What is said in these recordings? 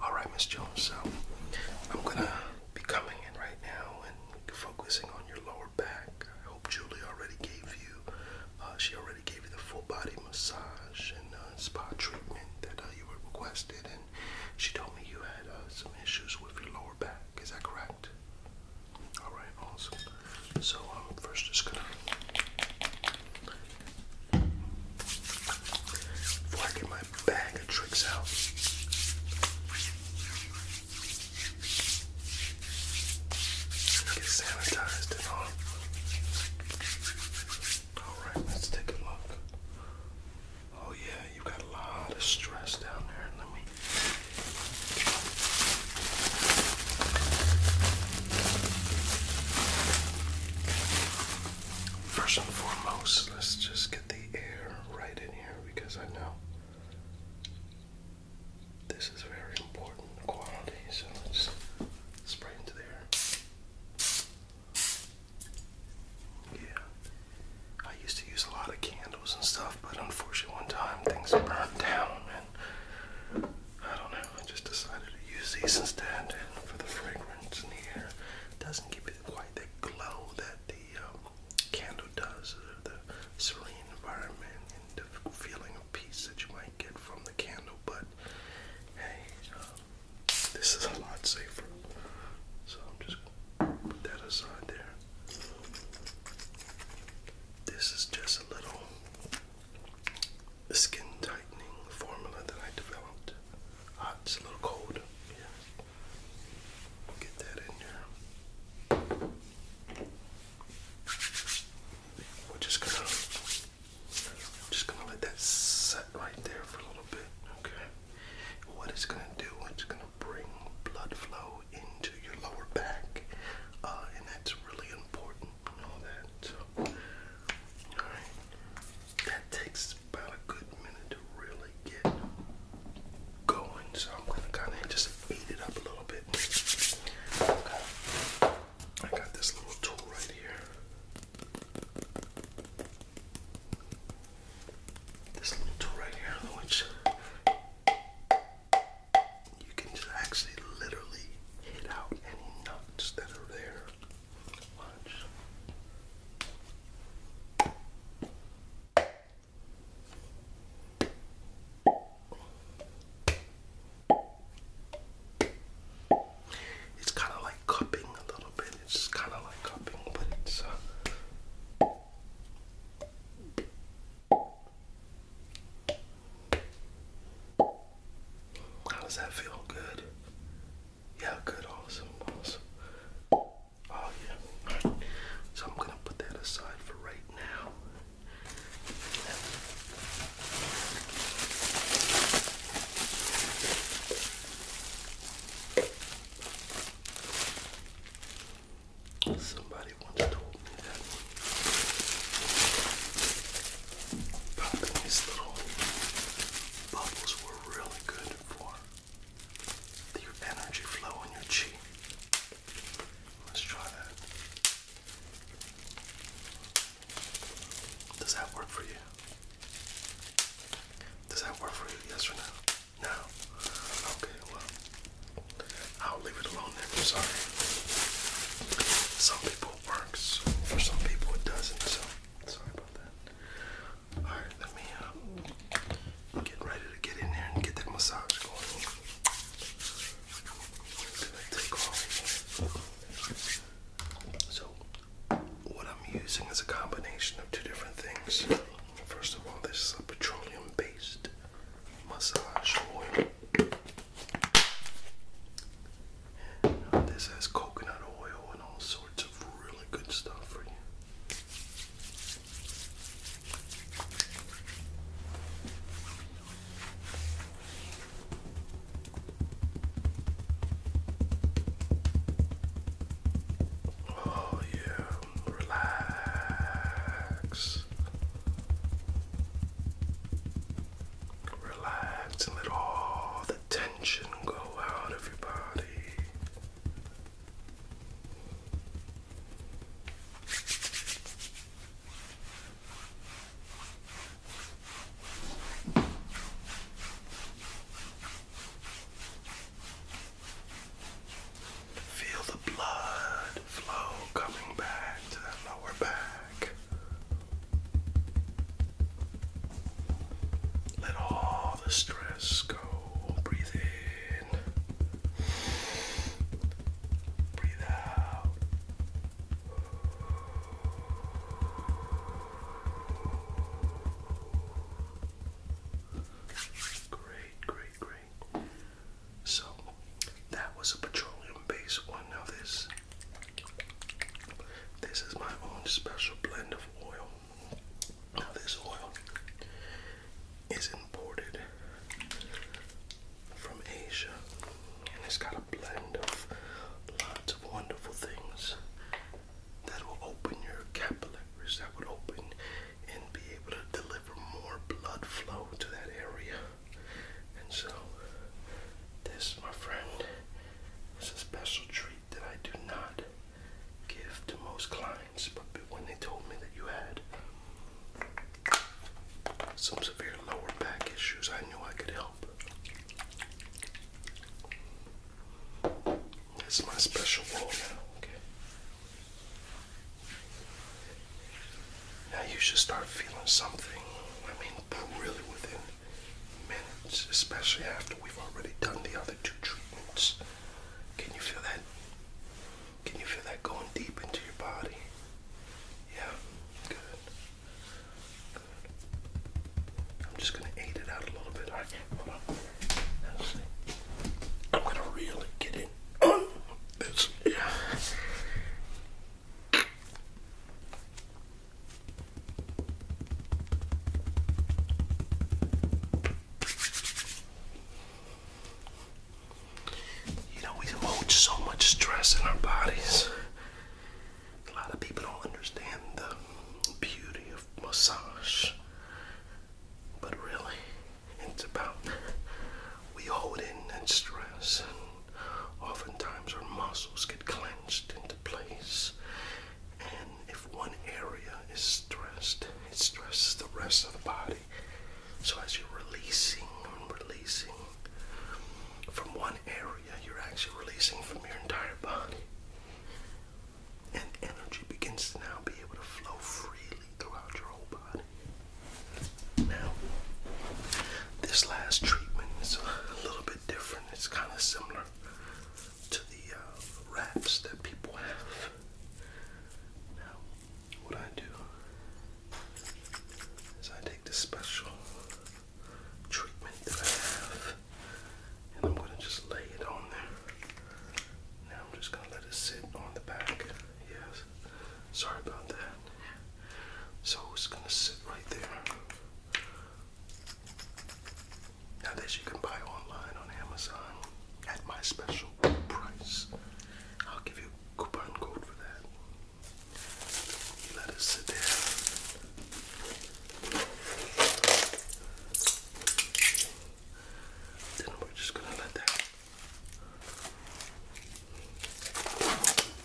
Alright, Miss Jones, so I'm gonna be coming in right now and focusing on your lower back. I hope Julie already gave you, uh, she already gave you the full body massage and uh, spa treatment that uh, you were requested, and she told me you had some issues with your lower back. Is that correct? Alright, awesome. So I'm um, first just gonna before I get my bag of tricks out. Get sanitized and all. Alright, let's take a look. Oh yeah, you got a lot of stress down there. Let me First and foremost, let's just get the air right in here because I know this is very important quality. So let's spray into there. Yeah, I used to use a lot of candles and stuff, but unfortunately, one time things burned down, and I don't know. I just decided to use these instead for the fragrance in here. It doesn't give it quite the glow that the um, candle does, or the serene environment and the feeling of peace that you might get from the candle. But hey, um, this is a lot safer. So I'm just gonna put that aside there. This is just a little skin tightening formula that I developed. Uh, it's a little cold. Yeah. get that in there. We're just gonna I'm just gonna let that set right there for a little bit. Okay. What it's gonna do, it's gonna bring blood flow into your lower back. Uh, and that's really important. know that. all right. That takes about a good minute to really get going, so I'm gonna kind of just eat it up a little bit. I got this little tool right here. This little tool right here, which you can just actually literally hit out any knots that are there. It's kind of like cupping a little bit. It's kind of like cupping, but it's. Uh, how does that feel? Good. Yeah, good, awesome, awesome. Oh yeah. So I'm gonna put that aside for right now. Somebody once told me that. But these little bubbles were really good for your energy flow in your chi. Let's try that. Does that work for you? Does that work for you? Yes or no? No. Okay, well, I'll leave it alone then. sorry. Some people it works. For some people it doesn't. So Sorry about that. Alright, let me um, get ready to get in there and get that massage going. So, what I'm using is a combination of two different things. First of all, this is a petroleum based massage oil this has coconut oil and all sorts of really good stuff for you. Oh, yeah, relax. Relax and let all the tension go out of your body. Feel the blood flow coming back to that lower back. Let all the stress go. Breathe in. Breathe out. Great, great, great. So, that was a petroleum based one. of this this is my own special blend of oil. Now, this oil is imported from Asia and it's got a blend of lots of wonderful things that will open your capillaries, that would open and be able to deliver more blood flow to that area. And so, this, my friend, it's a special treat that I do not give to most clients, but when they told me that you had some severe lower back issues, I knew I could help. That's my special role now, okay? Now you should start feeling something. I mean, really within minutes, especially after we've already done the other two treatments. Can you feel that? Can you feel that going deep into your body? Yeah, good. I'm just gonna aid it out a little bit. I'm gonna really get in this. Yeah. You know, we hold so much stress in our bodies. A lot of people don't understand the beauty of massage. But really, it's about we hold in that stress. Oftentimes our muscles get clenched into place, and if one area is stressed, it stresses the rest of the body. So as you're releasing and releasing from one area, you're actually releasing from your entire body. And energy begins to now be able to flow freely throughout your whole body. Now, this last treatment is a little bit different. It's kind of similar to the wraps uh, that people have. Now, what I do is I take this special treatment that I have and I'm going to just lay it on there. Now, I'm just going to let it sit on the back. Yes. Sorry about that. So it's going to sit right there. Now this you can buy online on Amazon at my special price. I'll give you a coupon code for that. let it sit there. Then we're just gonna let that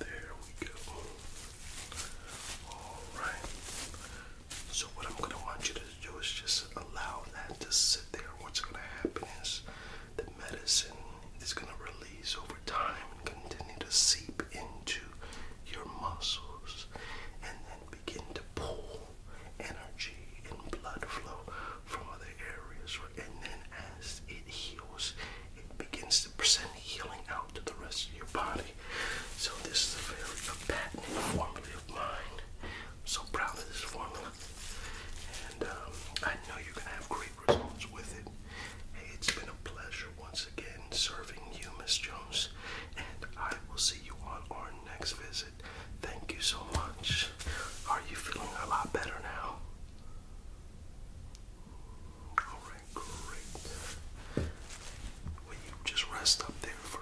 There we go. Alright. So, what I'm going to want you to do is just allow that to sit there. What's going to happen is the medicine is going to release over time continue to seep into your muscles and then begin to pull energy and blood flow from other areas. And then as it heals, it begins to send healing out to the rest of your body. So this is a very a formula of mine. I'm so proud of this formula. And um, I know you're going to have great results with it. Hey, it's been a pleasure once again serving you, Miss Jones, and I will see you on our next visit. Thank you so much. Are you feeling a lot better now? Alright, great. Will you just rest up there for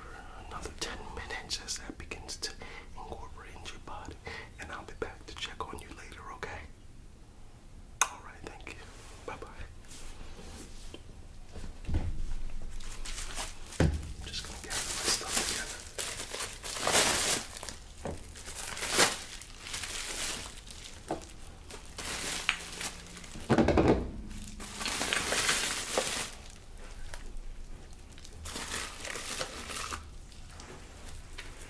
another 10 minutes as that begins to incorporate into your body? And I'll be back to check on you later, okay? All right, thank you. Bye bye. I'm just gonna gather my stuff together.